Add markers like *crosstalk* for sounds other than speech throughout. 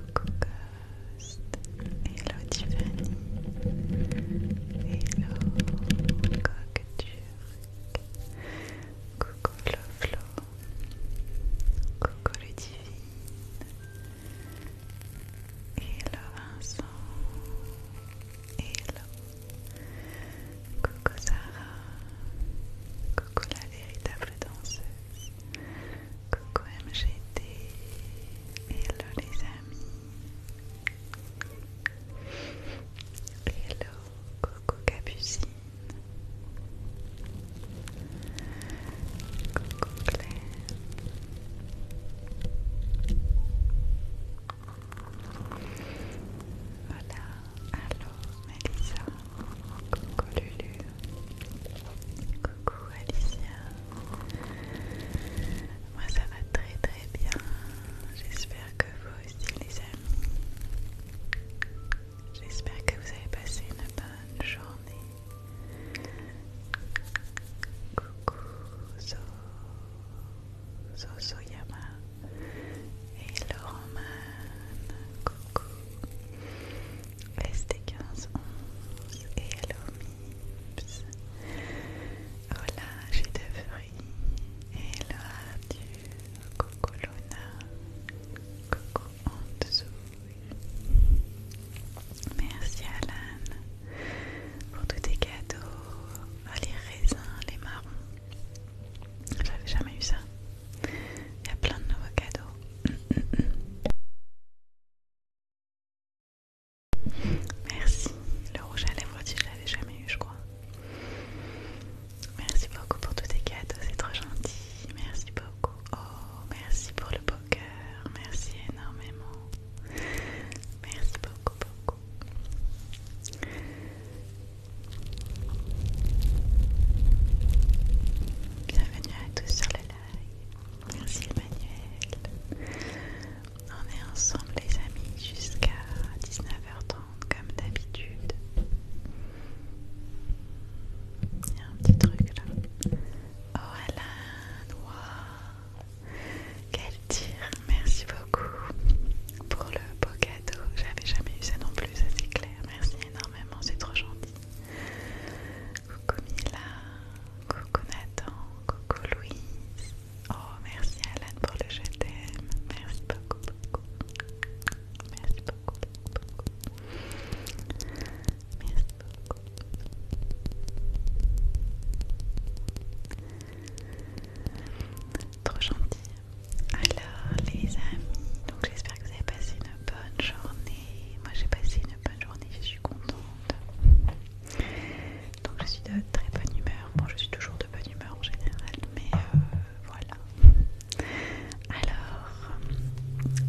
Coucou Ghost, hello Tiffany, hello Coq Turc, coucou Flo, coucou le Divine, hello Vincent, hello, coucou Sarah, coucou la véritable danseuse. Coucou MGT, hello les amis, hello, coucou Capucine, coucou Claire, voilà, allô Mélissa, coucou Lulu. Coucou Alicia. Moi ça va très très bien. J'espère que vous aussi les amis. J'espère que vous avez passé une bonne journée. Coucou Zo Yama et Laurent Coucou. ST1511 et Hello Mips. Hola, j'ai de fruits. Hello Arthur. Coucou Luna. Coucou Antoine Merci Alan pour tous tes cadeaux. Oh, les raisins, les marrons. J'avais jamais eu ça. Il y a plein de nouveaux cadeaux. Merci. Le rouge à lèvres, je l'avais jamais eu, je crois. Merci beaucoup pour tous tes cadeaux, c'est trop gentil. Merci beaucoup. Oh, merci pour le poker. Merci énormément. Merci beaucoup, beaucoup bienvenue à tous sur le live. Merci Emmanuel. On est ensemble les amis jusqu'à 19h30 comme d'habitude. Il y a un petit truc là. Oh Alain, wow. Quel tir, merci beaucoup pour le beau cadeau. J'avais jamais eu ça non plus, ça c'est clair. Merci énormément, c'est trop gentil. Coucou Mila, coucou Nathan, coucou Louise. Oh, merci Alan pour le je t'aime. Merci beaucoup, beaucoup. Merci beaucoup, beaucoup, Merci beaucoup. Trop gentil. Alors, les amis, donc que vous avez passé une bonne journée. Moi j'ai passé une bonne journée, je suis contente. Donc je suis de très bonne humeur. Bon, je suis toujours de bonne humeur en général, mais euh, voilà. Alors,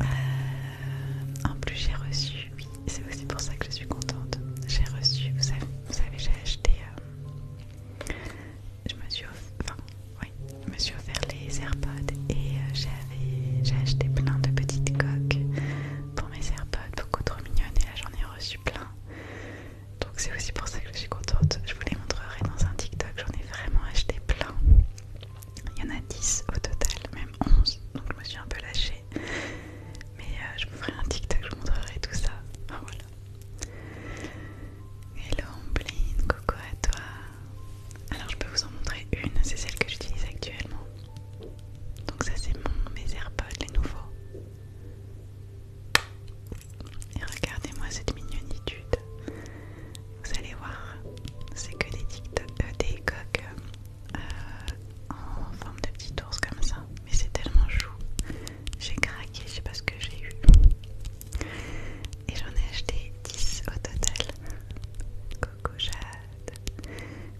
euh, en plus j'ai reçu, oui, c'est aussi pour ça que je suis contente. J'ai reçu, vous savez, j'ai acheté, euh, je me suis offert, oui, je me suis offert les AirPods et euh, j'ai acheté plein de petites coques pour mes AirPods, beaucoup trop mignonnes et là j'en ai reçu plein. Donc c'est aussi pour ça que je suis contente. Je vous les montrerai dans un TikTok, j'en ai vraiment acheté plein. Il y en a 10 au total, même 11, donc je me suis un peu lâchée. Mais euh, je vous ferai un TikTok, je vous montrerai tout ça. voilà. Hello Omblin, coucou à toi alors je peux vous en montrer une, c'est celle que j'utilise actuellement. Donc ça c'est mon mes AirPods les nouveaux. Et regardez-moi cette mignonitude. Vous allez voir, c'est que des, euh, des coques euh, en forme de petit ours comme ça. Mais c'est tellement chou. J'ai craqué, je sais pas ce que j'ai eu. Et j'en ai acheté 10 au total. Coco Jade.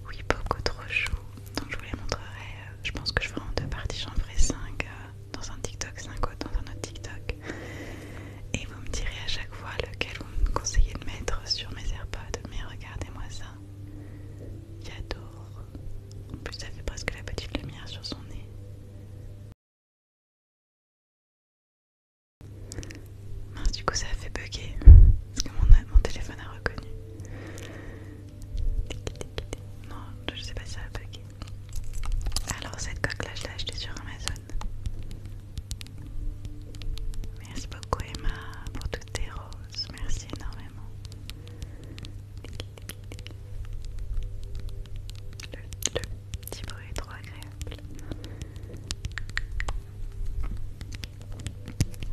Oui, beaucoup trop chou. Donc je vous les montrerai. Euh, je pense que je ferai en deux parties. J'en ferai 5 euh, dans un TikTok, 5 autres dans un autre TikTok. Et vous me direz à chaque fois lequel vous me conseillez de mettre sur mes AirPods. Mais regardez-moi ça. J'adore. En plus, ça fait presque la petite lumière sur son nez du coup, ça a fait bugger parce que mon, téléphone a reconnu. Non, je sais pas si ça a bugué. Alors, cette coque là, je l'ai achetée sur Amazon. Merci beaucoup, Emma, pour toutes tes roses. Merci énormément petit bruit trop agréable.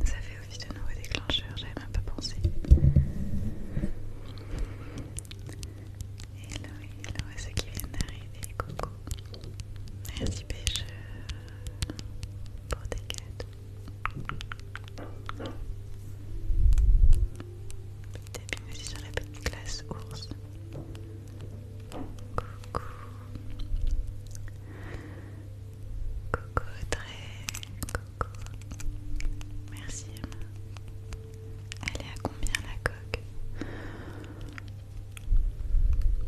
Ça fait office de nouveau déclencheur, j'avais même pas pensé. Hello, hello à ceux qui viennent d'arriver, coucou. Merci Pêche pour tes cadeaux. Petit tapis aussi sur la petite glace ours. Coucou. Coucou très Coucou. Merci Emma. Elle est à combien la coque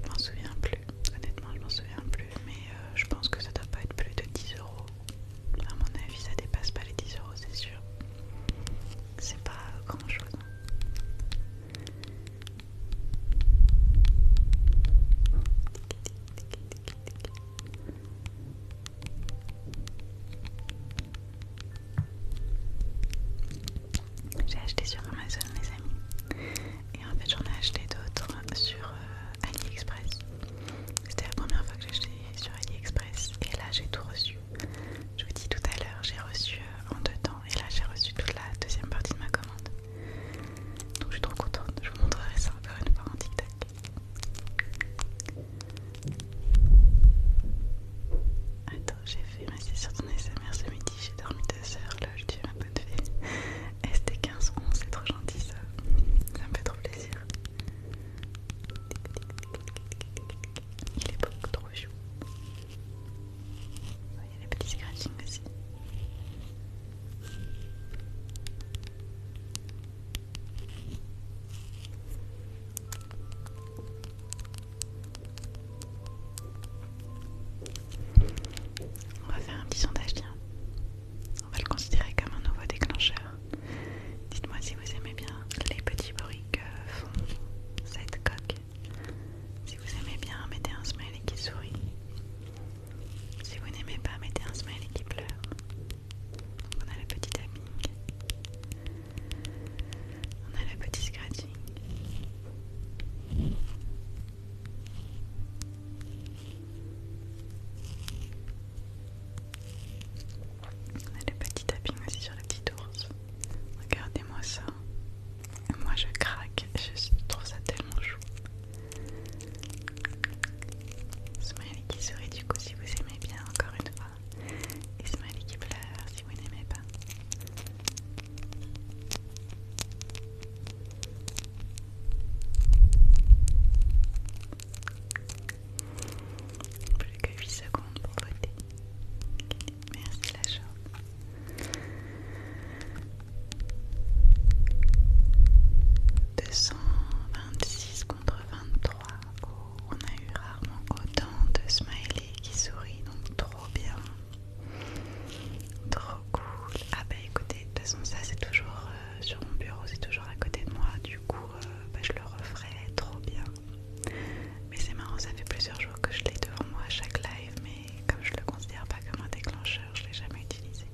Je m'en souviens plus. Honnêtement, je m'en souviens plus. Mais je pense que ça doit pas être plus de 10 euros. À mon avis, ça dépasse pas les 10 euros, c'est sûr. C'est pas grand chose. J'ai acheté sur Amazon, mes amis, et en fait, j'en ai acheté d'autres sur euh, AliExpress. C'était la première fois que j'ai acheté sur AliExpress, et là, j'ai tout reçu. Je vous dis tout à l'heure, j'ai reçu euh, en deux temps et là j'ai reçu toute la deuxième partie de ma commande. Donc je suis trop contente, je vous montrerai ça encore une fois en tic-tac. Attends, j'ai fait ma sur ton SMR ce midi, j'ai dormi 2 heures, là je ma bonne fille. ST1511, c'est trop gentil ça, ça me fait trop plaisir. Il est beaucoup trop chou. Il y a petits scratchings aussi. On va faire un petit sondage, tiens. On va le considérer comme un nouveau déclencheur. Dites-moi si vous aimez bien les petits bruits que font cette coque. Si vous aimez bien, mettez un smiley qui sourit. Si vous n'aimez pas, mettez un smiley qui pleure. on a le petit tapping. On a le petit scratching. On a le petit tapping aussi sur le petit ours. Regardez-moi ça. Moi je craque, je trouve ça tellement chou. Smiley qui sourit du coup si vous aimez bien encore une fois. Et Smiley qui pleure si vous n'aimez pas. Plus que 8 secondes pour voter. Merci la jambe. 226 contre 23, on a eu rarement autant de smileys qui sourient, donc trop bien. Trop cool. Ah bah écoutez, de toute façon ça c'est toujours euh, sur mon bureau, c'est toujours à côté de moi. Du coup, euh, bah, je le referai trop bien. Mais c'est marrant, ça fait plusieurs jours que je l'ai devant moi à chaque live, mais comme je le considère pas comme un déclencheur, je l'ai jamais utilisé.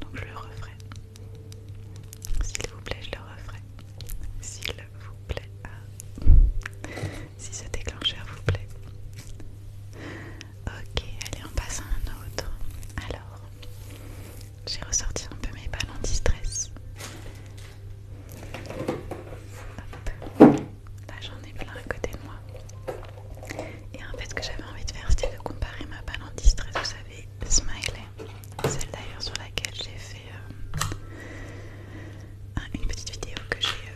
Donc je le referai. S'il vous plaît, je le referai. S'il vous plaît, ah. si ce déclencheur vous plaît. Ok, allez, on passe à un autre. Alors, j'ai ressorti un peu mes balles anti-stress. Là j'en ai plein à côté de moi. Et en fait ce que j'avais envie de faire c'était de comparer ma balle anti-stress, vous savez, Smiley. Celle d'ailleurs sur laquelle j'ai fait euh, une petite vidéo que j'ai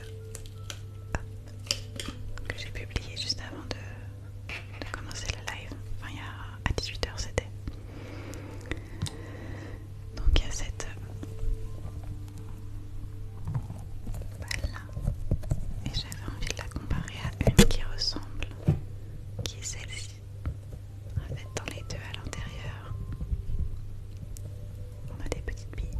euh, j'ai publiée juste avant de, de commencer le live. Enfin il y a à 18h c'était. Donc il y a cette balle Et j'avais envie de la comparer à une qui ressemble, qui est celle-ci. En fait, dans les deux à l'intérieur, on a des petites billes.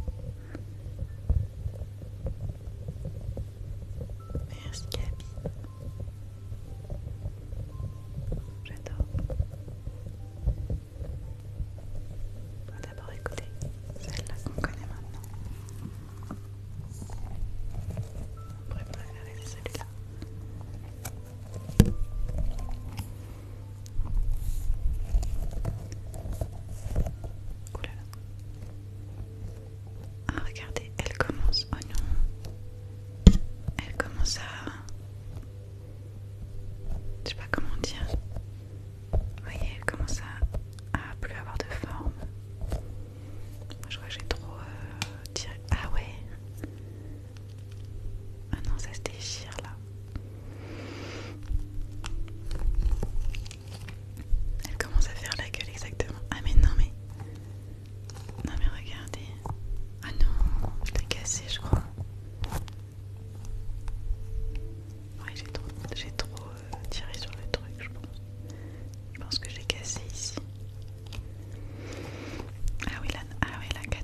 Merci Gabi. J'adore. On va d'abord écouter celle-là qu'on connaît maintenant. On pourrait préférer celui-là. Ouh là là. Ah regardez, elle commence. Oh non elle commence à... Je sais pas comment dire. Vous voyez, elle commence à, plus avoir de forme. Je crois que j'ai trop euh, tiré. Ah ouais Ah non, ça se déchire là. Elle commence à faire la gueule exactement. Ah mais non mais... Non mais regardez. Ah non, je l'ai cassé je crois. Ouais j'ai trop, j'ai trop euh, tiré sur le truc je pense. Je pense que j'ai cassé ici. Ah oui la, ah oui,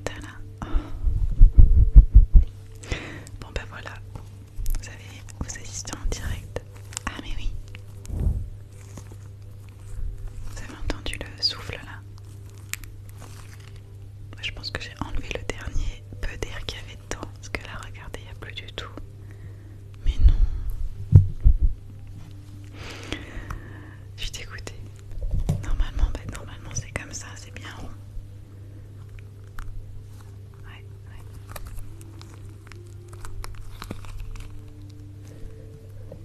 oh. Bon ben voilà, vous, avez, vous assistez en direct. Ah mais oui, vous avez entendu le souffle là Je pense que j'ai enlevé le dernier peu d'air qu'il y avait dedans. Parce que là, regardez, il n'y a plus du tout. Mais non. Je suis Normalement, ben, normalement c'est comme ça, c'est bien rond. Ouais, ouais.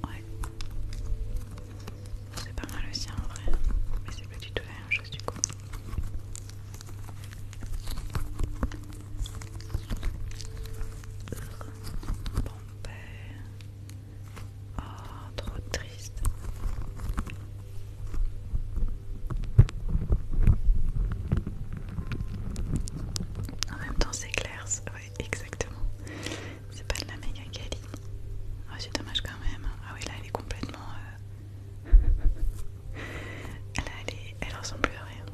Ouais. C'est pas mal le aussi en vrai, mais c'est pas du tout la même chose du coup. Bon père ben, Oh, trop triste. En même temps, c'est clair, ouais, exactement. C'est pas de la méga Kelly ah, c'est dommage quand même. Ah oui, là elle est complètement. Euh, elle, elle ressemble plus à rien.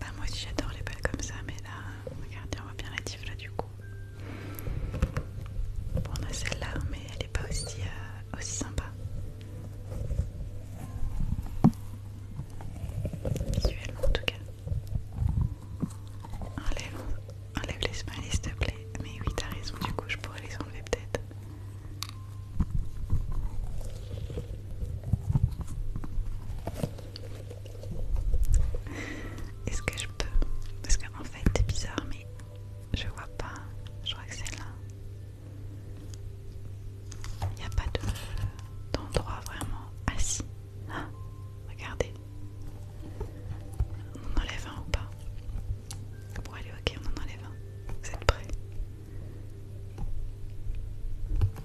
Bah, moi aussi j'adore les balles comme ça, mais là, regardez, on voit bien la tif là du coup. Bon, on a celle-là, mais elle est pas aussi, euh, aussi sympa. Visuellement en tout cas. Enlève, les smileys s'il te plaît. Mais oui, t'as raison, du coup, je pourrais les enlever peut-être. Est-ce que je peux Parce qu'en fait, c'est bizarre, mais je vois pas. Je crois que c'est là. Il n'y a pas d'endroit vraiment assis. Ah, regardez. On enlève un ou pas Bon allez ok, on en enlève un. Vous êtes prêts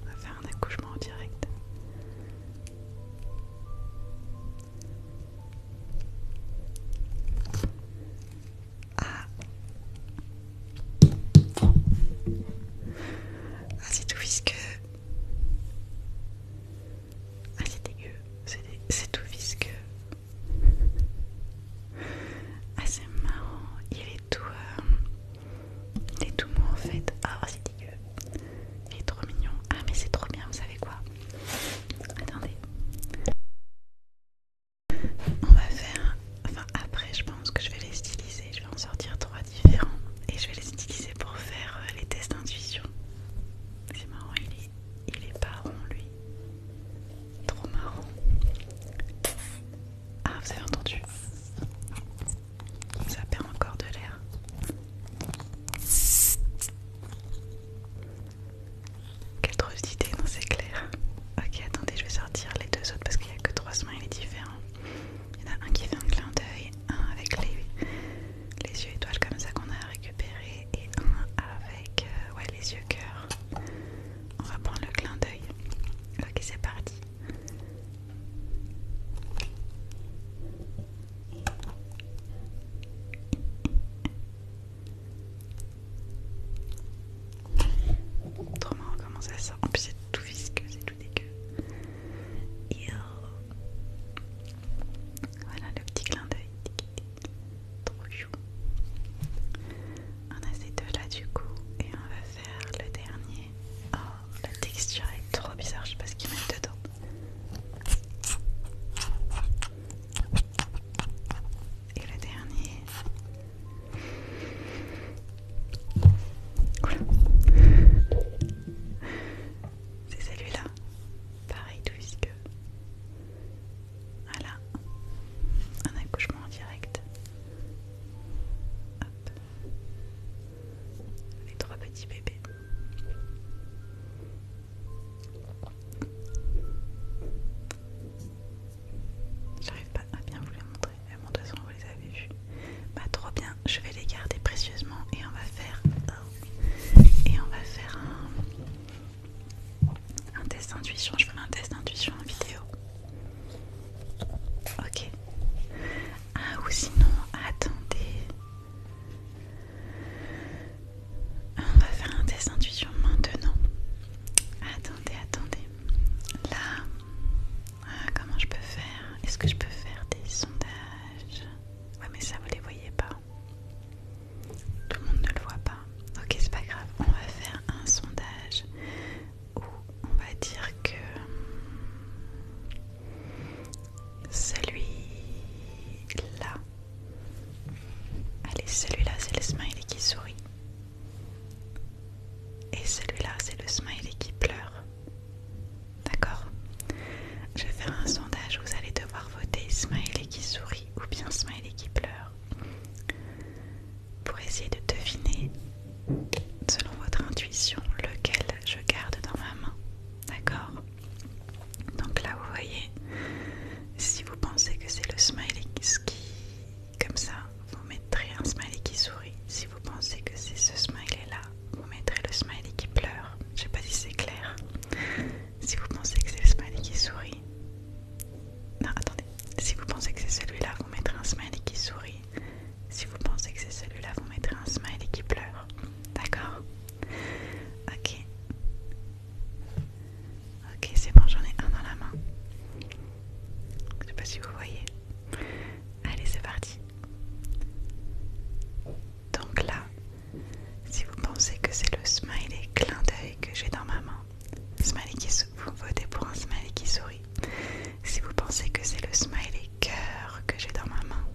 On va faire un accouchement en direct. Ah Ah c'est tout puisque ah, c'est dégueu, c'est tout visqueux. Ah, c'est marrant, il est tout. Euh, il est tout mou en fait. Ah, oh, c'est dégueu. Il est trop mignon. Ah, mais c'est trop bien, vous savez quoi Attendez. On va faire. Enfin, après, je pense que je vais les styliser. Je vais en sortir trois différents et je vais les utiliser pour faire euh, les tests d'intuition. C'est marrant, il est, pas rond lui. Trop marrant. Ah, vous avez entendu Ça perd encore de l'air. Quelle drôle d'idée, non c'est clair. Ok, attendez, je vais sortir les deux autres parce qu'il n'y a que trois est différent. Il y en a un qui fait un clin d'œil, un avec les, yeux étoiles comme ça qu'on a récupéré et un avec euh, les yeux cœur. On va prendre le clin d'œil. Ok, c'est parti. Trop marrant comment ça sort. En plus c'est tout visqueux, c'est tout dégueu. Voilà le petit clin d'œil. Trop chou. On a ces deux là du coup et on va faire le dernier. Oh, la texture est trop bizarre, je sais pas ce qu'ils mettent dedans. Et le dernier. C'est celui-là. Pareil, tout que Voilà. Un accouchement en direct. Hop. Les trois petits bébés. J'arrive pas à bien vous les montrer. Elles montrent son avez vu. Bah trop bien, je vais les garder précieusement et on va faire et on va faire un, un test d'intuition. Je ferai un test d'intuition en vidéo. Ok. Ah ou sinon, attendez. On va faire un test d'intuition maintenant. Attendez, attendez. Là, euh, comment je peux faire Est-ce que je peux faire des sondages Ouais, mais ça, vous les voyez pas. Tout le monde ne le voit pas. Ok, c'est pas grave. On va faire un sondage où on va dire que celui-là. Allez, celui-là, c'est le smiley qui sourit. Et celui-là, c'est le smiley qui pleure. D'accord Je vais faire un sondage, vous allez devoir voter smiley qui sourit ou bien smiley qui pleure pour essayer de deviner, selon votre intuition, lequel je garde dans ma main. D'accord Donc là, vous voyez, si vous pensez que c'est le smiley qui, comme ça, vous mettrez un smiley qui sourit vous pensez que c'est ce smiley là, vous mettrez le smiley qui pleure. Je sais pas si c'est clair. Si vous pensez que c'est le smiley qui sourit. Non, attendez. Si vous pensez que c'est celui-là, vous mettrez un smiley qui sourit. Si vous pensez que c'est celui-là, vous mettrez un smiley qui pleure. D'accord Ok. Ok, c'est bon, j'en ai un dans la main. Je sais pas si vous voyez. Allez, c'est parti. Donc là, si vous pensez que c'est le smiley clin d'œil que j'ai dans ma main, smiley qui vous votez pour un smiley qui sourit. Si vous pensez que c'est le smiley cœur que j'ai dans ma main,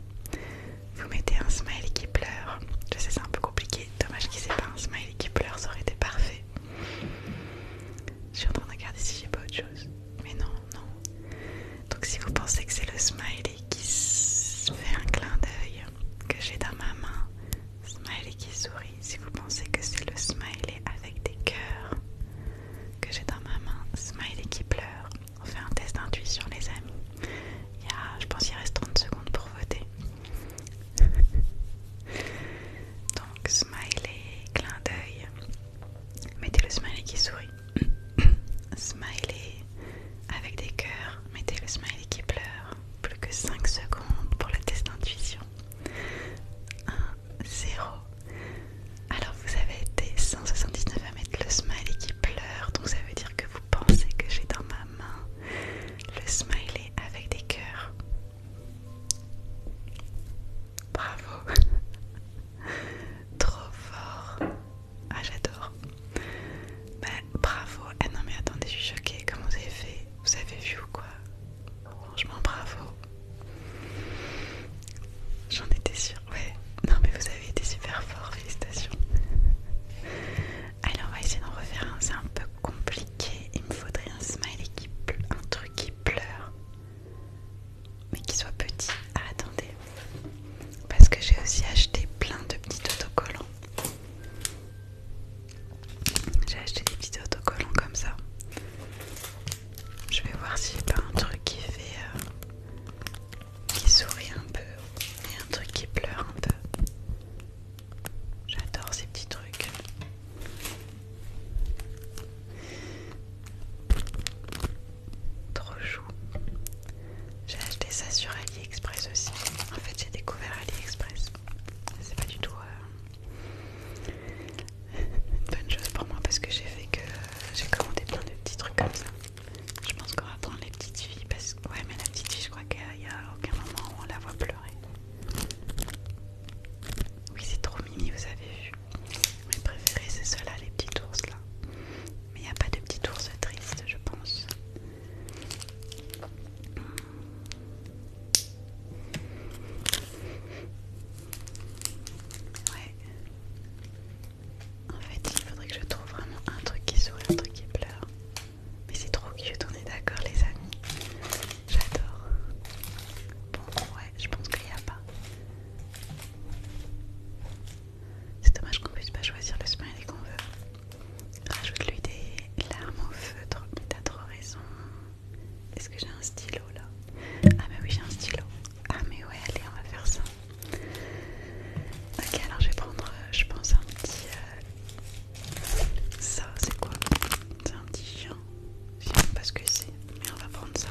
vous mettez un smiley qui pleure. Je sais c'est un peu compliqué, dommage qu'il ne ait pas un smiley qui pleure, ça aurait été parfait. Je suis en train de regarder si j'ai pas autre chose. Mais non, non. Donc si vous pensez que c'est le smiley qui fait un clin d'œil que j'ai dans ma main, smiley qui sourit, si vous pensez que c'est le smiley avec des cœurs que j'ai dans ma main, smiley qui pleure, on fait un test d'intuition les amis. Il y a, je pense qu'il reste 30 secondes pour voter. *laughs* Donc smiley, clin d'œil. Mettez le smiley qui sourit. *coughs* smiley avec des cœurs. Mettez le smiley qui pleure. Plus que 5 secondes pour le test d'intuition. 1, 0. Alors vous avez été 179 à mettre le smiley qui pleure. Donc ça veut dire que vous pensez que j'ai dans ma main le smiley avec des cœurs. Bravo *laughs* Trop fort ah j'adore. Bah bravo. Ah non mais attendez, je suis choquée. Comment vous avez fait Vous avez vu ou quoi Franchement bravo. J'en étais sûre. Ouais. Non mais vous avez été super fort. Félicitations. Alors on va essayer d'en refaire un. C'est un peu compliqué. Il me faudrait un smiley qui pleure. Un truc qui pleure mais qui soit petit. attendez, parce que j'ai aussi acheté plein de petits autocollants. J'ai acheté des petits autocollants comme ça. Je vais voir si j'ai pas un truc qui fait euh, qui sourit un peu et un truc qui pleure un peu. J'adore ces petits trucs. Trop chou. J'ai acheté ça sur AliExpress aussi. En fait, j'ai découvert AliExpress. C'est pas du tout euh, une bonne chose pour moi parce que j'ai fait que j'ai commandé plein de petits trucs comme ça. Je pense qu'on va prendre les petites filles parce que ouais, mais la petite fille, je crois qu'il n'y a, aucun moment où on la voit pleurer. Oui, c'est trop mini, vous avez vu. Mes préférés, c'est ceux-là, les petits ours là. Mais il n'y a pas de petit ours triste, je pense. Ouais. En fait, il faudrait que je trouve vraiment un truc qui sourit, un truc qui pleure. Mais c'est trop cute, on est d'accord, les amis. J'adore. Bon, ouais, je pense qu'il n'y a pas. C'est dommage qu'on puisse pas choisir le smiley qu'on veut. Rajoute-lui des larmes au feutre. T'as trop raison. Est-ce que j'ai un stylo là Ah mais oui j'ai un stylo. Ah mais ouais allez on va faire ça. Ok alors je vais prendre euh, je pense un petit... Euh, ça c'est quoi C'est un petit chien. Je sais pas ce que c'est mais on va prendre ça.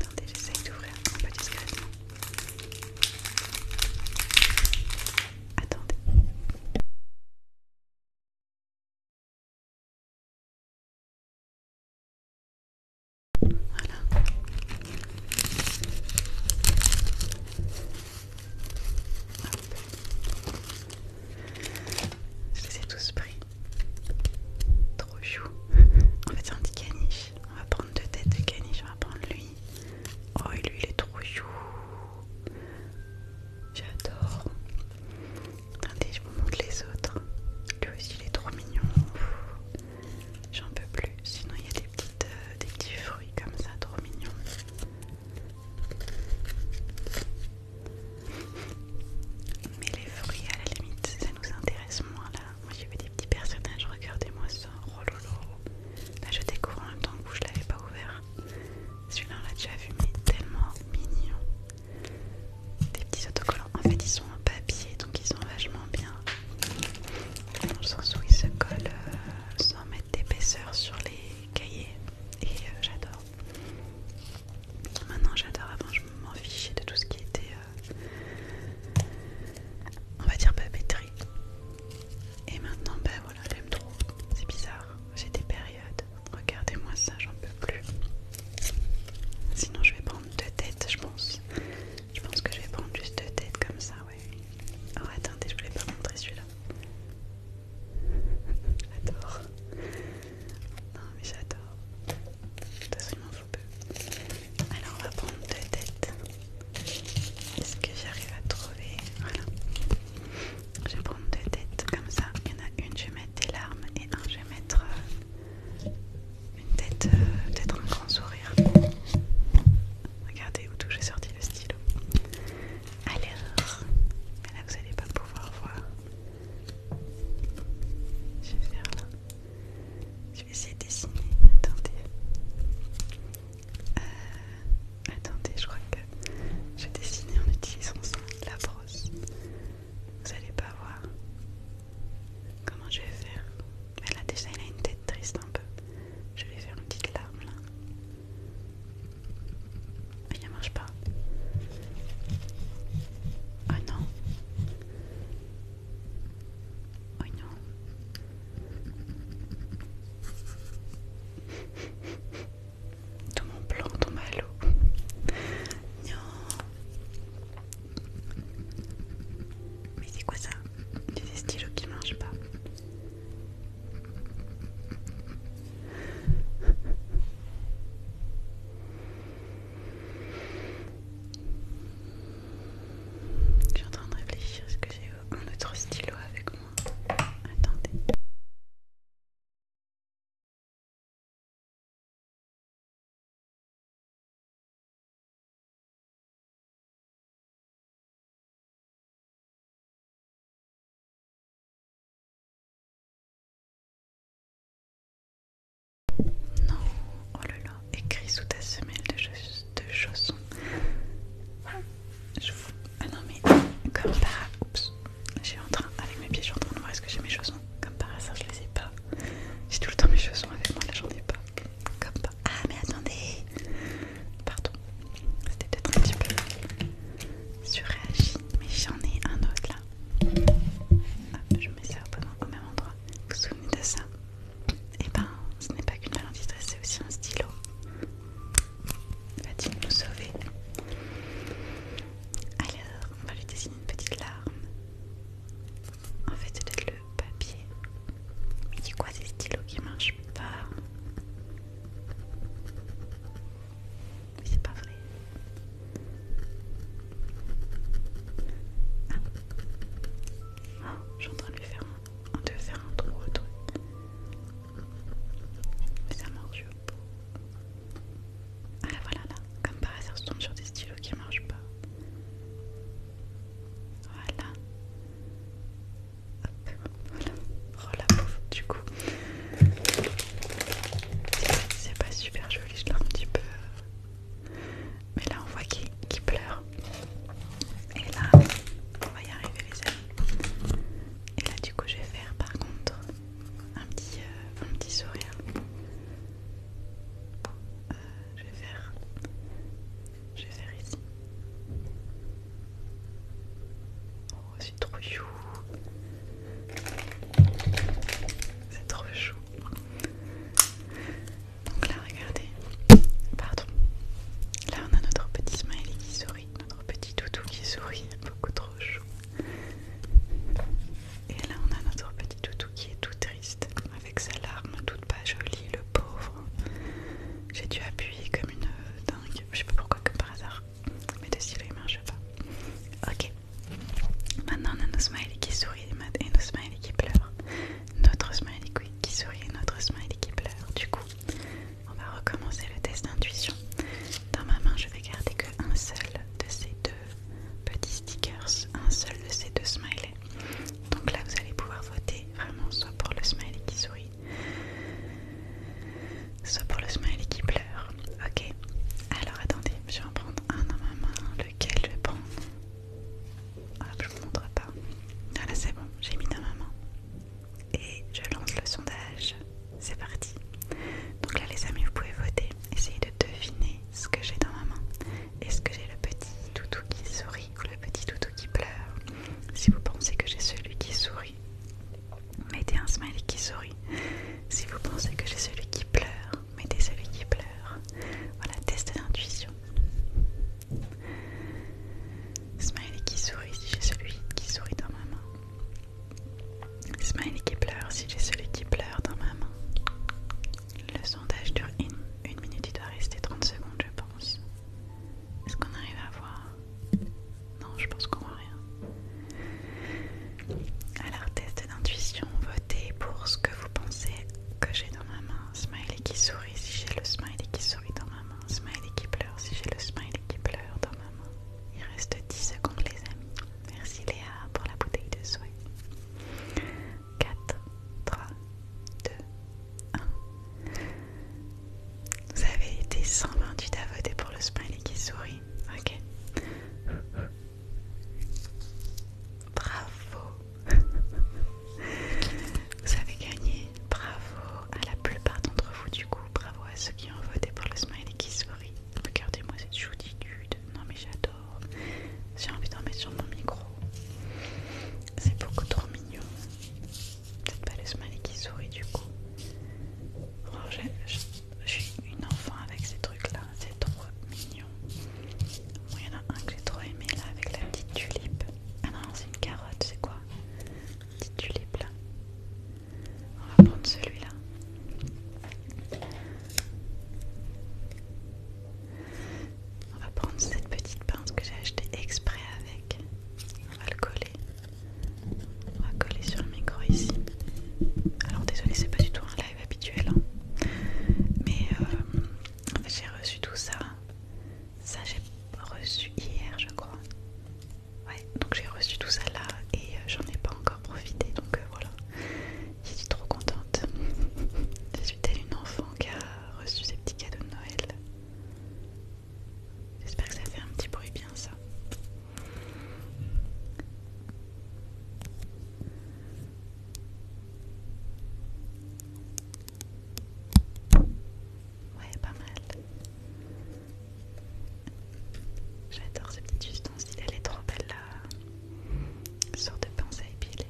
Attendez, j'essaye d'ouvrir un peu discrètement. Attendez. Voilà. Je les ai tous pris. Trop chou. En fait, c'est un petit caniche. On va prendre deux têtes de caniche. On va prendre lui. Oh, lui, il est trop chou. J'adore. Attendez, je vous montre les autres. Lui aussi, il est trop mignon. J'en peux plus. Sinon, il y a des, euh, des petits fruits comme ça, trop mignons. Mais les fruits, à la limite, ça nous intéresse moins là. Moi j'ai vu des petits personnages, regardez-moi ça. Oh là je découvre en même temps que je l'avais pas ouvert. Celui-là on l'a déjà vu, mais tellement mignon. Des petits autocollants. En fait, ils sont en papier donc ils sont vachement bien. Dans le sens où ils se collent euh, sans mettre d'épaisseur sur les cahier et euh, j'adore. Maintenant j'adore, avant je m'en fichais de tout ce qui était, euh, on va dire papeterie. Et maintenant ben voilà, j'aime trop, c'est bizarre, j'ai des périodes, regardez-moi ça, j'en peux plus. Sinon je vais prendre deux têtes je pense. Je pense que je vais prendre juste deux têtes comme ça, ouais. Oh attendez, je voulais pas montrer celui-là. J'adore. Non mais j'adore. De toute façon Alors on va prendre deux têtes. Est-ce que j'arrive à trouver Voilà. Je vais prendre deux têtes comme ça. Il y en a une, je vais mettre des larmes et un, je vais mettre euh, une tête, euh, peut-être un grand sourire. Regardez où tout j'ai sorti le stylo. Alors, là vous allez pas pouvoir voir. Je vais faire là. Je vais essayer de dessiner. Attendez. Euh, attendez, je crois que je vais dessiner en utilisant ça, la brosse. Vous allez pas voir comment je vais faire. Mais là déjà il a une tête triste un peu. Je vais faire une petite larme là. Il ne marche pas. Oh non. Oh non. Tout mon plan tombe à l'eau. Non. Mais c'est quoi ça des stylos qui ne marchent pas. Je suis en train de réfléchir, ce que j'ai un autre stylo avec moi Attendez. Non, oh là là, écrit sous ta semelle de, chaussons. Ah non mais comme par... Oups, j'ai en train... Avec mes pieds, je suis en train de voir est-ce que j'ai mes chaussons. Comme par ça je les ai pas. J'ai tout le temps mes chaussons avec moi, là j'en ai pas. Comme Ah mais attendez Pardon, c'était peut-être un petit peu surréagi, mais j'en ai un autre là. je mets ça au même endroit. Vous vous souvenez de ça Et eh ben, ce n'est pas qu'une maladie c'est aussi un stylo. Va-t-il nous sauver Alors, on va lui dessiner une petite larme. En fait, c'est peut-être le papier. Mais c'est quoi ces stylos qui marchent pas mais c'est pas vrai. Ah. Oh, train de lui faire un, de faire un trou au truc. Mais ça marche pas. Ah voilà là, comme par hasard je tombe sur des stylos qui marchent pas. Voilà voilà. Oh la du coup. C'est pas super joli, je l'ai un petit peu. Mais là, on voit qu'il pleure. Et là, on va y arriver, les amis. Et là, du coup, je vais faire par contre un petit, euh, petit sourire. Euh, je vais faire je vais faire ici. Oh, c'est trop chou. C'est trop chou. Donc là, regardez. Pardon. Là, on a notre petit smiley qui sourit, notre petit toutou qui sourit, beaucoup trop chou. Et là, on a notre petit toutou qui est tout triste, avec sa larme toute pas jolie, le pauvre. J'ai dû appuyer comme une euh, je Je sais pas pourquoi, comme par hasard. Mais de stylo, ne marche pas. Ok. Maintenant, on a nos smileys qui sourit et nos smileys qui pleurent. Notre smiley qui sourit et notre smiley qui pleure. Du coup, on va recommencer le test d'intuition. Dans ma main, je vais garder que un seul de ces deux petits stickers, un seul de ces deux smileys. Donc là, vous allez pouvoir voter vraiment soit pour le smiley qui sourit Soit pour le smiley qui pleure. Ok. Alors attendez, je vais en prendre un dans ma main. Lequel je prends ah, Je vous montre pas. Voilà, ah, c'est bon, j'ai mis dans ma main. Et je lance le sondage. C'est parti. Donc là les amis, vous pouvez voter. Essayez de deviner ce que j'ai dans ma main. Est-ce que j'ai le petit toutou qui sourit ou le petit toutou qui pleure. Si vous pensez que j'ai celui qui sourit, mettez un smiley qui sourit. Si vous pensez que j'ai celui qui pleure, mettez celui qui pleure. Voilà, test d'intuition. Smiley qui sourit si j'ai celui qui sourit dans ma main. Smiley qui pleure si j'ai celui qui pleure dans ma main. Le sondage dure une, minute, il doit rester 30 secondes je pense. Est-ce qu'on arrive à voir Non, je pense qu'on voit rien. Alors, test d'intuition, votez pour ce que vous pensez que j'ai dans ma main. Smiley qui sourit si j'ai le smiley qui sourit dans ma main. Smiley qui pleure si j'ai le smiley qui pleure dans ma main. Il reste 10 secondes les amis. Merci Léa pour la bouteille de souhait. 4, 3, 2, vous avez été 128 à voter pour le smiley qui sourit. Ok. Bravo. *laughs* Vous avez gagné. Bravo à la plupart d'entre vous du coup. Bravo à ceux qui ont voté pour le smiley qui sourit. Regardez-moi cette choutitude. Non mais j'adore. J'ai envie d'en mettre sur mon micro. C'est beaucoup trop mignon peut-être pas le smiley qui sourit du coup. je, suis une enfant avec ces trucs là, c'est trop mignon. il y en a un que j'ai trop aimé là avec la petite tulipe. Ah non, c'est une carotte, c'est quoi Petite tulipe là. On va prendre celui-là. On va prendre cette petite pince que j'ai achetée exprès avec. On va le coller. On va coller sur le micro ici. Alors désolé, c'est pas du tout un live habituel, hein. mais euh, en fait, j'ai reçu tout ça. Ça j'ai reçu hier, je crois. Ouais, donc j'ai reçu tout ça là et euh, j'en ai pas encore profité, donc euh, voilà. Je suis trop contente. *laughs* Je suis telle une enfant qui a reçu ses petits cadeaux de Noël. J'espère que ça fait un petit bruit bien ça. Ouais, pas mal. J'adore ce petit ustensile, elle est trop belle là, sorte de pince à épiler.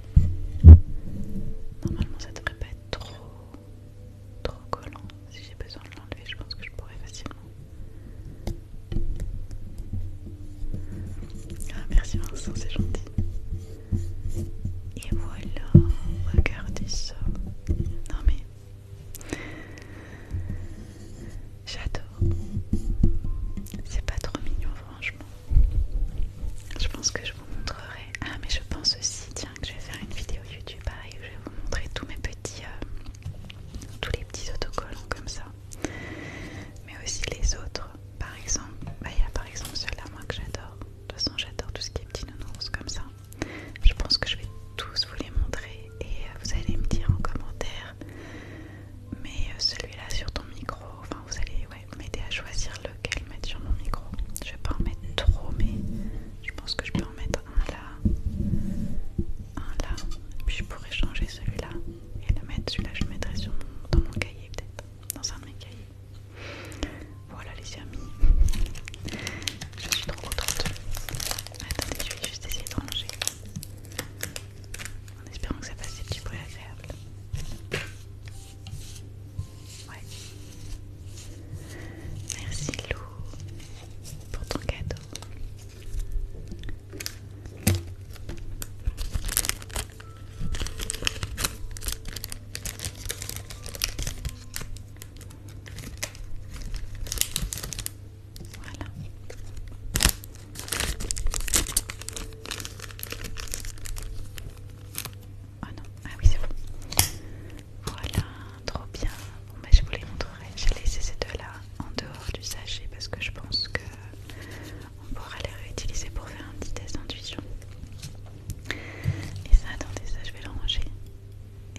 Normalement ça devrait pas être trop trop collant. Si j'ai besoin de l'enlever, je pense que je pourrais facilement. Ah, merci Vincent, c'est gentil. Et voilà, regardez ça. Non mais. J'adore. C'est pas trop mignon, franchement. Je pense que je vous montrerai. Ah, mais je pense aussi, que je vais faire une vidéo YouTube pareil hein, où je vais vous montrer tous mes petits euh, tous les petits autocollants comme ça mais aussi les autres par exemple bah, il y a par exemple celui-là moi que j'adore de toute façon j'adore tout ce qui est petits nounours comme ça je pense que je vais tous vous les montrer et euh, vous allez me dire en commentaire mais euh, celui-là sur ton micro enfin vous allez m'aider à choisir lequel mettre sur mon micro je vais pas en mettre trop mais je pense que je peux en mettre un là, un là, et puis je pourrais changer celui-là et le mettre. Celui-là, je le mettrai sur dans mon cahier, peut-être, dans un de mes cahiers. Voilà, les amis, je suis trop contente. Attendez, je vais juste essayer de ranger en espérant que ça fasse des petits bruits agréables. Ouais. Merci Lou pour ton cadeau. Voilà. Ah oh non, ah oui c'est faux voilà, trop bien. Bon, ben, je vous les montrerai. J'ai laissé ces deux-là en dehors du sachet parce que je pense que on pourra les réutiliser pour faire un petit test d'intuition. Et ça, attendez, ça je vais le ranger.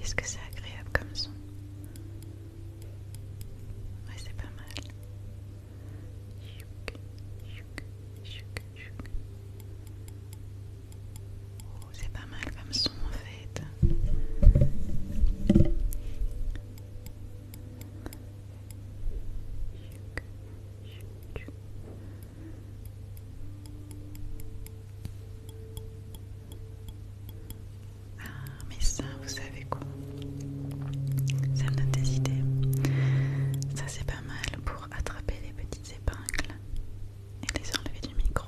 Est-ce que c'est agréable comme son Ouais, c'est pas mal. Oh, c'est pas mal comme son en fait. Ah, mais ça, vous savez quoi Ça me donne des idées. Ça, c'est pas mal pour attraper les petites épingles et les enlever du micro.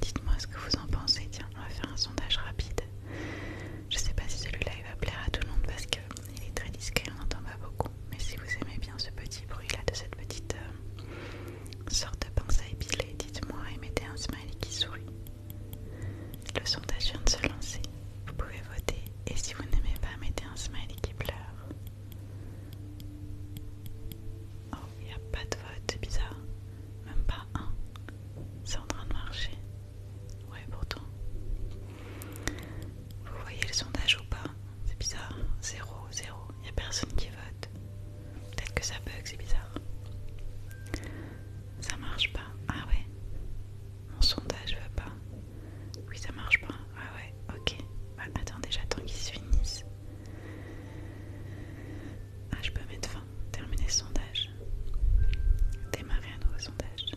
Dites-moi ce que vous en pensez. Tiens, on va faire un sondage rapide. Je sais pas si celui-là il va plaire à tout le monde parce qu'il est très discret, on n'entend pas beaucoup. Mais si vous aimez bien ce petit bruit-là de cette petite euh, sorte de pince à épiler, dites-moi et mettez un smiley qui sourit. Le sondage vient de se lancer. Vous pouvez voter et si vous n'aimez pas, mettez un smiley qui pleure. Oh, il n'y a pas de vote, c'est bizarre. Même pas un. C'est en train de marcher. Ouais, pourtant. Vous voyez le sondage ou pas C'est bizarre. 0, zéro. Il n'y a personne qui vote. Peut-être que ça bug, c'est bizarre. Ça marche pas. Ah ouais. Mon sondage va euh, pas. Oui, ça marche pas. Ah ouais, ok. Bah, attendez, j'attends qu'ils se finissent. Ah, je peux mettre fin. Terminer le sondage. Démarrer un nouveau sondage.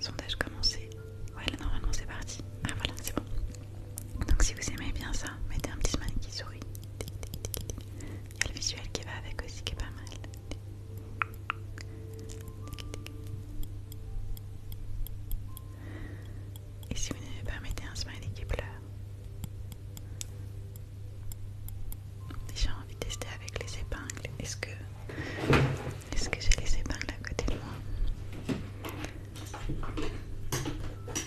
Sondage commencé. Ouais, là, normalement, c'est parti. Ah, voilà, c'est bon. Donc, si vous aimez bien ça, mettez un petit smiley qui sourit. Il y a le visuel qui va avec aussi, qui est pas mal. Et si vous ne pas, mettez un smiley qui pleure. J'ai envie de tester avec les épingles. Est-ce que, est-ce que j'ai les épingles à côté de moi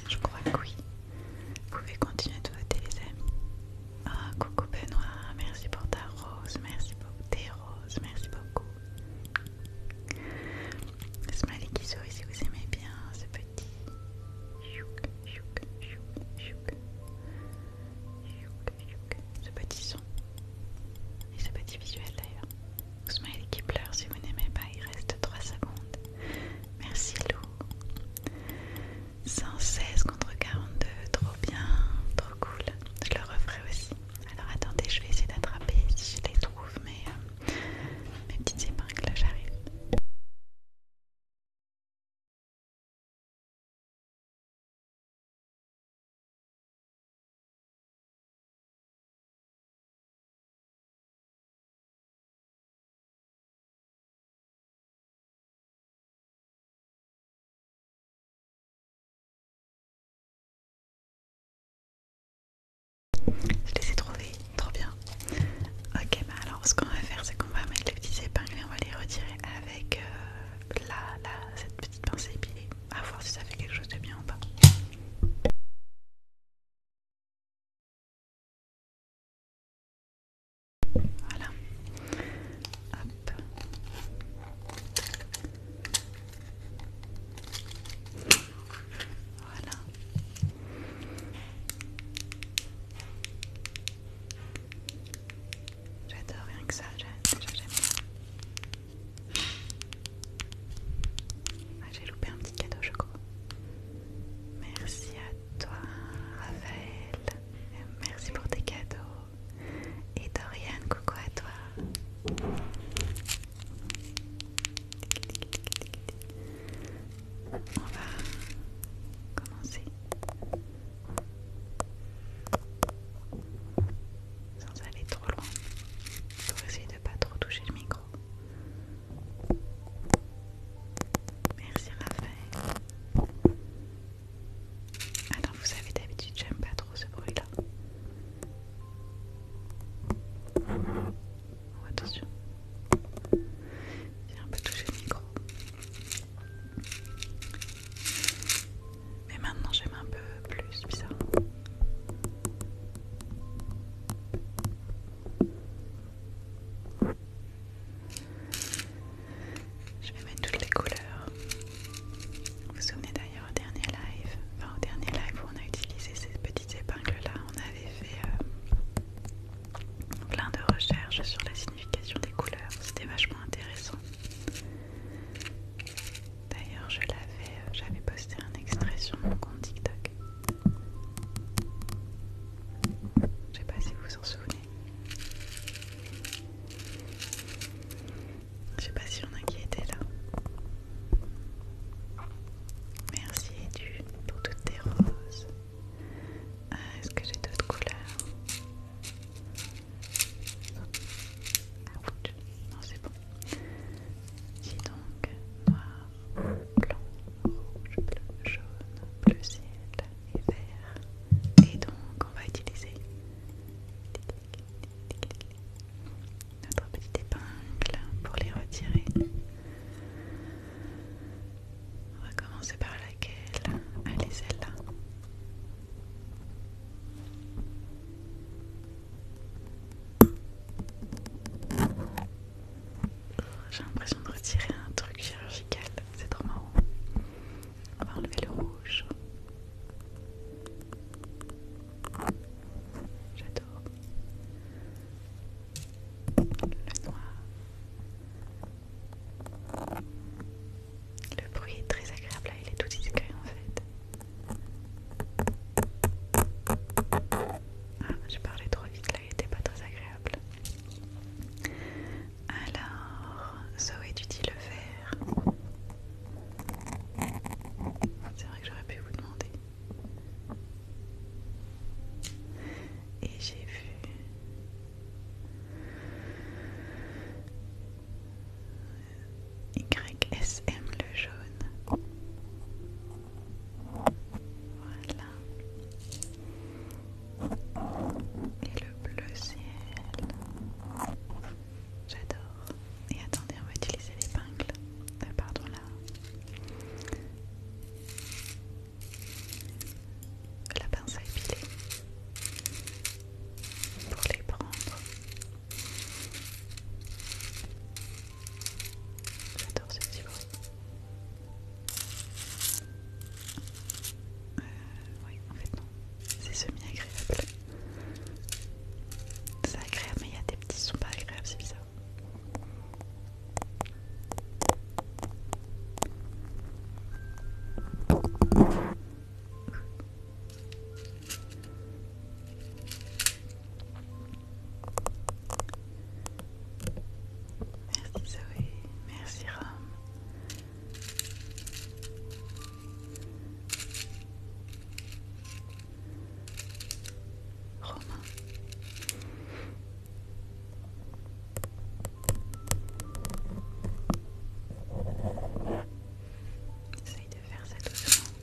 Je crois que oui. Vous pouvez continuer de voter, les amis. Ah, coucou Benoît, merci pour ta rose, merci pour tes roses, merci beaucoup. Smiley qui sourit si vous aimez bien ce petit. Ce petit son et ce petit visuel d'ailleurs. Smiley qui pleure si vous n'aimez pas, il reste 3 secondes. Merci Lou. 116 contre 42, trop bien, trop cool. Je le referai aussi. Alors attendez, je vais essayer d'attraper si je les trouve, mais euh, mes petites épingles, j'arrive. Je les ai trouvés, trop bien. Ok, bah alors ce qu'on va faire, c'est qu'on va mettre les petits épingles et on va les retirer avec euh, la, cette petite pince épilée. À voir si ça fait quelque chose de bien ou pas. Voilà. Hop. Voilà. J'adore rien que ça, j'aime ah, J'ai loupé un petit cadeau, je crois. Merci à toi, Raphaël. Merci pour tes cadeaux. Et Dorian, coucou à toi. On va commencer sans aller trop loin pour essayer de ne pas trop toucher le micro. Merci Raphaël. Alors vous savez d'habitude j'aime pas trop ce bruit là. Oh, attention. J'ai un peu touché le micro. Mais maintenant j'aime un peu plus ça. Je vais mettre toutes les couleurs. Vous vous souvenez d'ailleurs au dernier live, enfin au dernier live où on a utilisé ces petites épingles là, on avait fait euh, plein de recherches sur la signification des couleurs, c'était vachement intéressant. D'ailleurs je l'avais, euh, j'avais posté un extrait sur mon compte TikTok. Je sais pas si vous vous en souvenez. Je sais pas si on a qui était là. Merci Edu pour toutes tes roses. Euh, est-ce que j'ai d'autres couleurs Non c'est bon. Dis donc, noir, blanc, rouge, bleu, jaune, bleu ciel, et donc, on va utiliser notre petite épingle pour les retirer. On va commencer par laquelle Allez, celle-là. J'ai l'impression de retirer un truc chirurgical, c'est trop marrant. On va enlever le rouge. J'adore. Le noir. Le bruit est très agréable là, il est tout discret en fait. Ah, j'ai parlé trop vite là, il n'était pas très agréable. Alors, Zoé, tu dis le vert. C'est vrai que j'aurais pu vous demander. Et j'ai vu. YSM le jaune. Voilà et le bleu ciel. J'adore. Et attendez, on va utiliser l'épingle. Euh, pardon là. La pince à épiler pour les prendre. J'adore ce petit bruit. Euh, oui, en fait, c'est semi-agréable. C'est agréable, mais il y a des petits sons pas agréables, c'est bizarre. Merci Zoé, merci Rome, Romain. Essaye de faire ça doucement.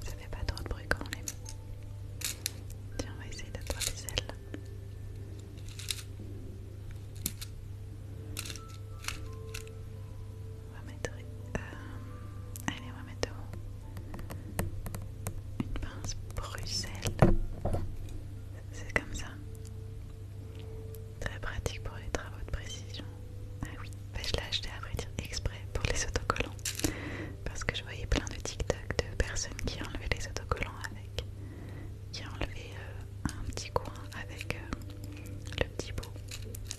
Ça fait pas trop de bruit quand on est. met. Tiens, on va essayer d'avoir celle ailes. On va mettre. Euh, allez, on va mettre Une pince Bruxelles. C'est comme ça. Très pratique pour les travaux de précision. Ah oui, bah, je l'ai acheté à vrai dire exprès pour les autocollants. Parce que je voyais plein de TikTok de personnes qui enlevaient les autocollants avec. Qui enlevaient euh, un petit coin avec euh, le petit bout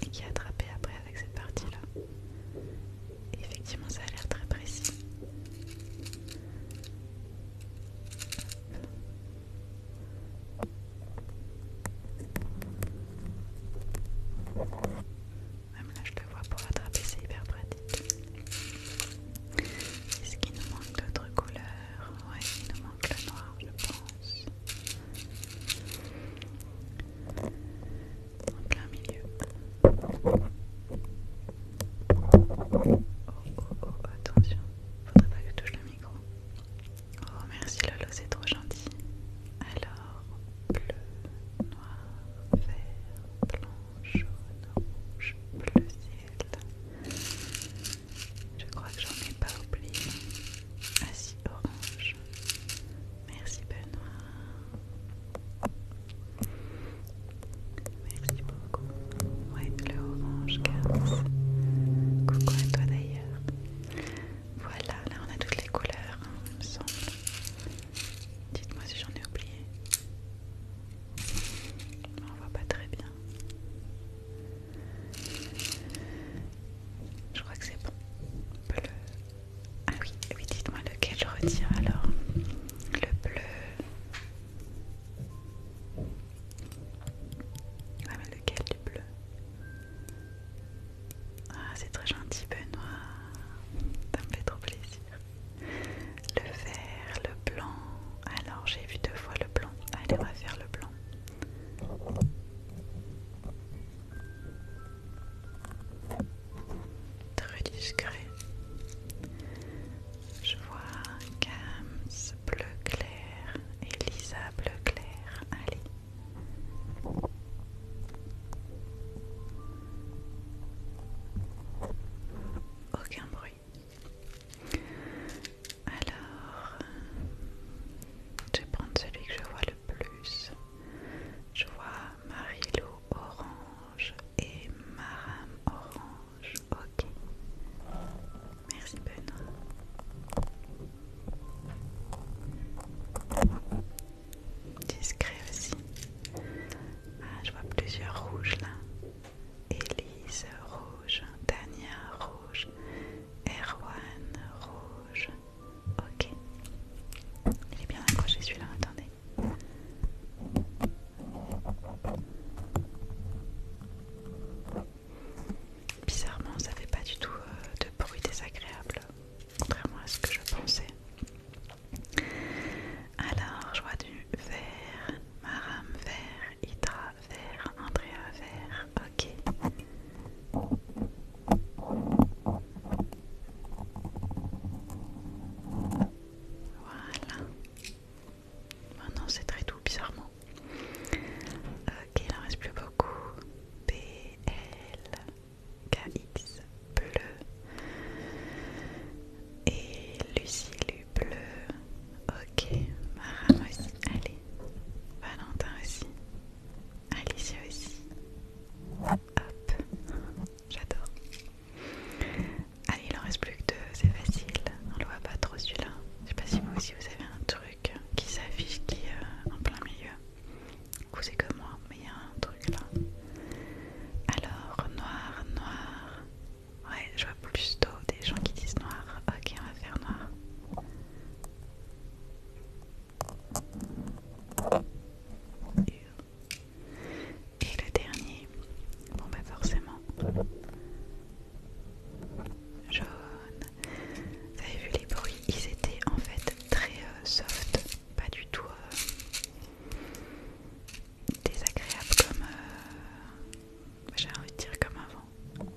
et qui attrapé après avec cette partie-là. Effectivement, ça a l'air très précis. Même là, je te vois pour attraper, c'est hyper pratique. Est-ce qu'il nous manque d'autres couleurs Ouais, il nous manque le noir, je pense. En plein milieu. Oh, oh, oh, attention. Faudrait pas que je touche le micro. Oh, merci Lolo, c'est trop gentil. Alors bleu, noir, vert, blanc, jaune, rouge, bleu ciel. Je crois que j'en ai pas oublié. Ah si, orange. Merci Benoît. Merci beaucoup. Ouais, le orange, Carlos. Coucou à toi d'ailleurs. Voilà, là on a toutes les couleurs, il hein, me semble. Dites-moi si j'en ai oublié. On voit pas très bien. Je crois que c'est bon. Ah eh oui, dites-moi lequel je retire alors. Le bleu. Ah mais lequel du bleu ah, c'est très gentil, Benoît. Ça me fait trop plaisir. Le vert, le blanc. Alors, j'ai vu deux fois le blanc. Allez, on va faire le blanc. Très discret. Je vois Gams bleu clair Elisa bleu clair. Allez, aucun bruit. Alors, je vais prendre celui que je vois le plus. Je vois Marilou orange et Maram orange. Ok. Merci Benoît discret aussi. Ah, je vois plusieurs rouges là. Elise rouge, Tania rouge, Erwan rouge. Ok. Il est bien accroché celui-là, attendez. Bizarrement, ça fait pas du tout euh, de bruit désagréable contrairement à ce que je pensais. Alors, je vois du vert, maram vert, hydra vert, Andrea vert, ok. Voilà. Maintenant, oh c'est très doux, bizarrement. Ok, il en reste plus beaucoup. B, L. KX bleu et Lucilu bleu. Ok, Maram aussi, allez, Valentin aussi, Alicia aussi. Hop, j'adore. Allez, il en reste plus que deux, c'est facile. On le voit pas trop celui-là. Je sais pas si vous aussi vous avez un truc qui s'affiche qui est euh, en plein milieu c'est que moi, mais il y a un truc là. Alors, noir, noir. Ouais, je vois plus tôt des gens qui disent noir. Ok, on va faire noir. Et le dernier. Bon, bah forcément. Jaune. Vous avez vu les bruits Ils étaient en fait très euh, soft pas du tout euh, désagréable comme euh, j'ai envie de dire comme avant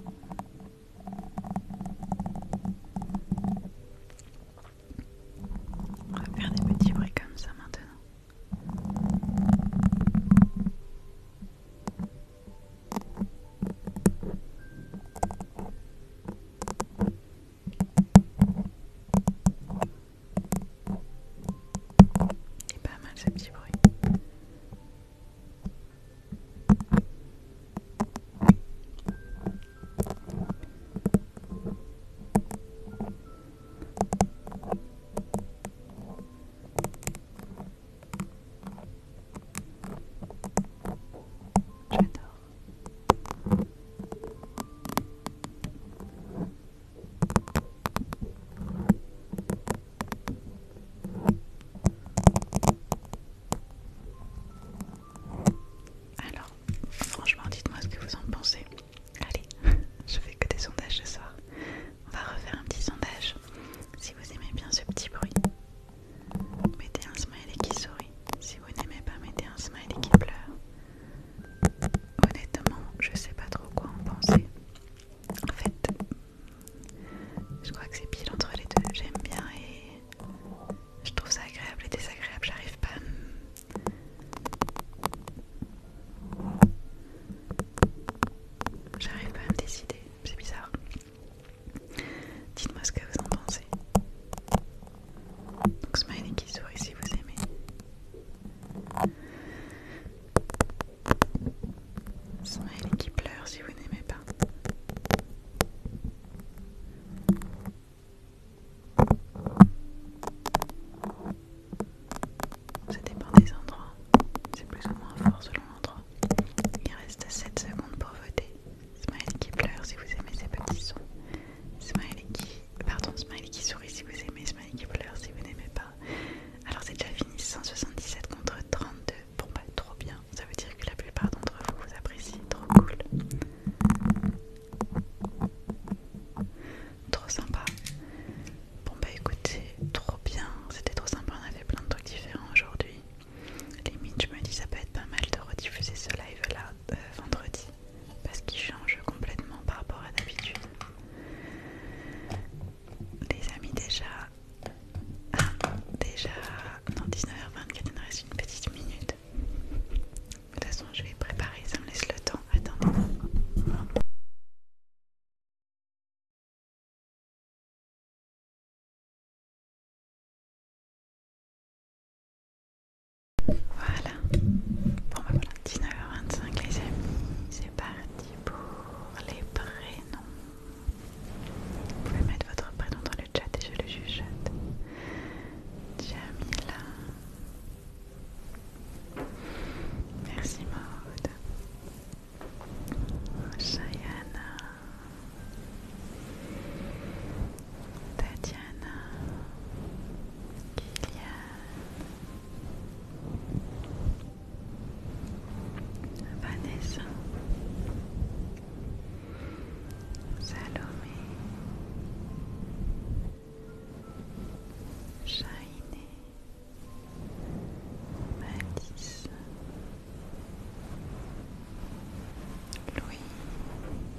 on va faire des petits bruits comme ça maintenant c'est pas mal ce petit bruit. J'adore. Alors, franchement, dites-moi ce que vous en pensez. Allez, *laughs* je fais que des sondages ce soir. On va refaire un petit sondage si vous aimez bien ce petit bruit. Mettez un smiley qui sourit. Si vous n'aimez pas, mettez un smiley qui pleure. Honnêtement, je sais pas trop quoi en penser. En fait, je crois que c'est pile entre les deux. J'aime bien et je trouve ça agréable et désagréable. J'arrive pas à me décider. C'est bizarre. Dites-moi ce que vous en pensez smiley qui sourit si vous aimez. Smiley qui pleure si vous n'aimez pas. Ça dépend des endroits, c'est plus ou moins fort selon l'endroit. Il reste 7 secondes pour voter. Smiley qui pleure si vous aimez ces petits sons. Smiley qui... Pardon, Smiley qui sourit si vous aimez. Smiley qui pleure si vous n'aimez pas. Alors c'est déjà fini, 177 contre 32. Bon bah trop bien. Ça veut dire que la plupart d'entre vous vous apprécient. Trop cool. Trop sympa. Bon bah écoutez, trop bien. C'était trop sympa, on avait plein de trucs différents aujourd'hui. Limite, je me dis ça peut être pas mal de rediffuser ce live là euh, vendredi parce qu'il change complètement par rapport à d'habitude. Les amis, déjà. Ah, déjà. Dans 19h24, il me reste une petite minute. De toute façon, je vais préparer, ça me laisse le temps. Attendez. Voilà, pour ma ben voilà, 19h25 les amis, c'est parti pour les prénoms. Vous pouvez mettre votre prénom dans le chat et je le juge Jamila. Merci Maude. Sayana. Tatiana, Kylian, Vanessa, Salomé, Chainé, Matisse, Louis.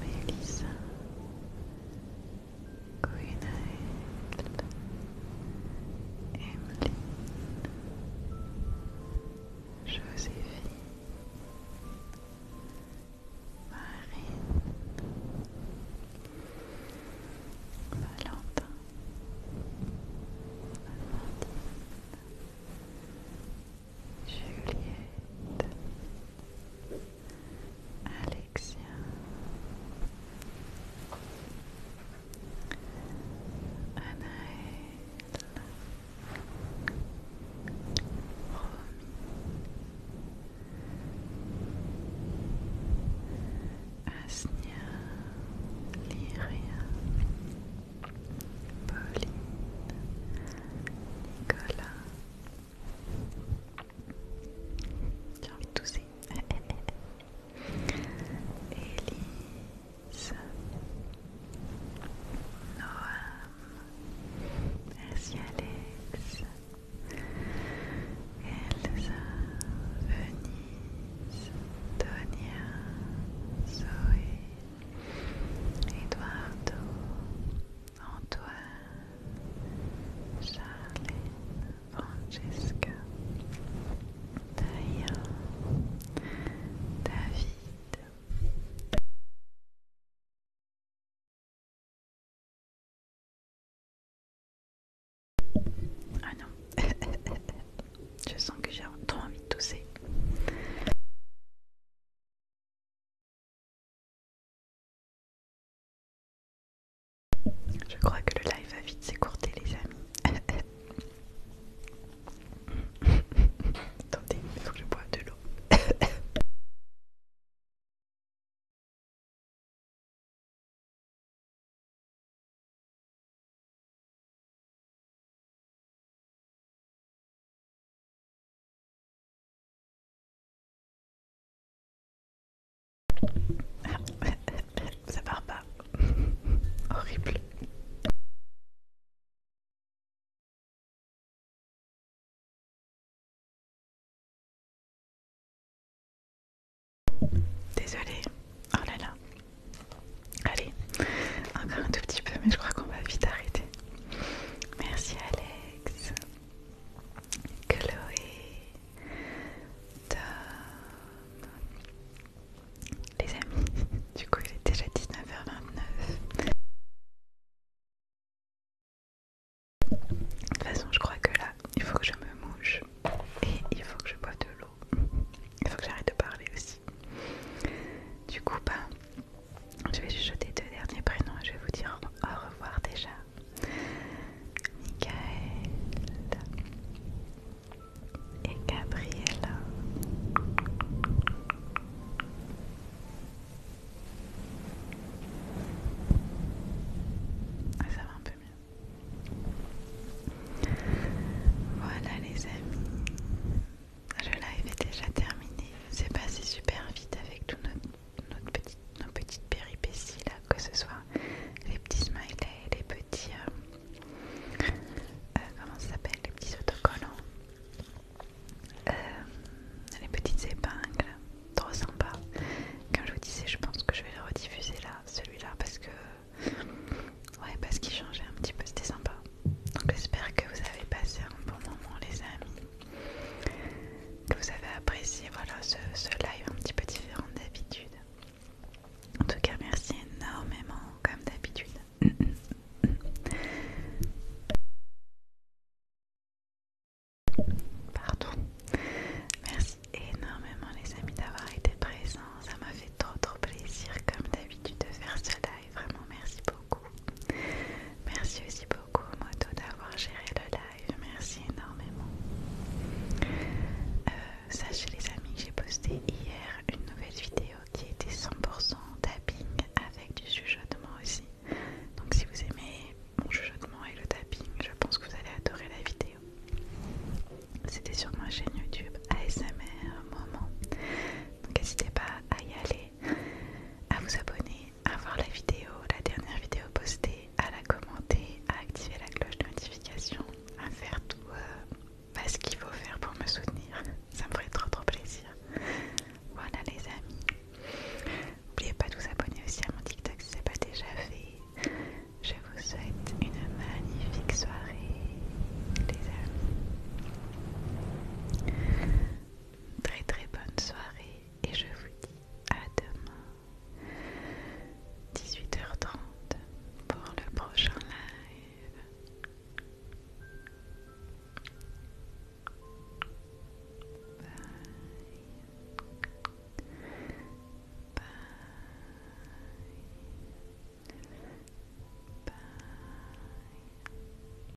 Mélissa, Gwynaël, Emeline, Joséphine, Marine, Valentin, Valentine. Juliette, Alexia, Anaëlle Romy, Asnia, Lyria, Pauline, Nicolas, j'ai envie de tousser. Elise. *laughs* Noam. Merci Alex. Elsa. Venise. Tonia. Zoé. Eduardo. Antoine, Charlène, Francesca, Taya, David. Ah non, *laughs* je sens que j'ai trop envie de tousser. Je crois que le live va vite s'écourter les amis. *laughs* Attendez, il faut que je bois de l'eau. Ça part pas. *laughs* Horrible. Désolée. Oh là là. Allez, encore un tout petit peu, mais je crois qu'on va vite arrêter. Merci Allez. Alex, Chloé, Tom. Les amis, *laughs* du coup il est déjà 19h29. De toute façon, je crois que là, il faut que je me mouche et il faut que je bois de l'eau. Il faut que j'arrête de parler aussi. Du coup, ben... Je vais jeter deux derniers prénoms et je vais vous dire au revoir déjà. Michael et Gabriella. Ah, ça va un peu mieux. Voilà les amis le live est déjà terminé. C'est passé super vite avec toutes nos petites péripéties là, que ce soit les petits smileys, les petits. Euh, euh, comment ça s'appelle Les petits autocollants, euh, les petites épingles, trop sympa. Comme je vous disais, je pense que je vais le rediffuser là, celui-là, parce que. Ouais, parce qu'il changeait un petit peu, c'était sympa. Donc j'espère que vous avez passé un bon moment, les amis que vous avez apprécié voilà, ce, ce live un petit peu différent d'habitude. En tout cas, merci énormément, comme d'habitude. Pardon. Merci énormément les amis d'avoir été présents. Ça m'a fait trop trop plaisir comme d'habitude de faire ce live. Vraiment merci beaucoup. Merci aussi beaucoup Moto d'avoir géré le live. Merci énormément. Euh, sachez les amis j'ai posté hier une nouvelle vidéo qui était 100% tapping avec du chuchotement aussi. Donc si vous aimez mon chuchotement et le tapping, je pense que vous allez adorer la vidéo. C'était sur ma chaîne YouTube ASMR Moment. Donc n'hésitez pas à y aller, à vous abonner, à voir la vidéo, la dernière vidéo postée, à la commenter, à activer la cloche de notification, à faire tout euh, bah, ce qu'il faut faire pour me soutenir. *laughs* Ça me ferait trop trop plaisir. Voilà les amis. N'oubliez pas de vous abonner aussi à mon TikTok si ce n'est pas déjà fait. Je vous souhaite une magnifique soirée les amis très très bonne soirée et je vous dis à demain 18h30 pour le prochain live. Bye. Bye. Bye.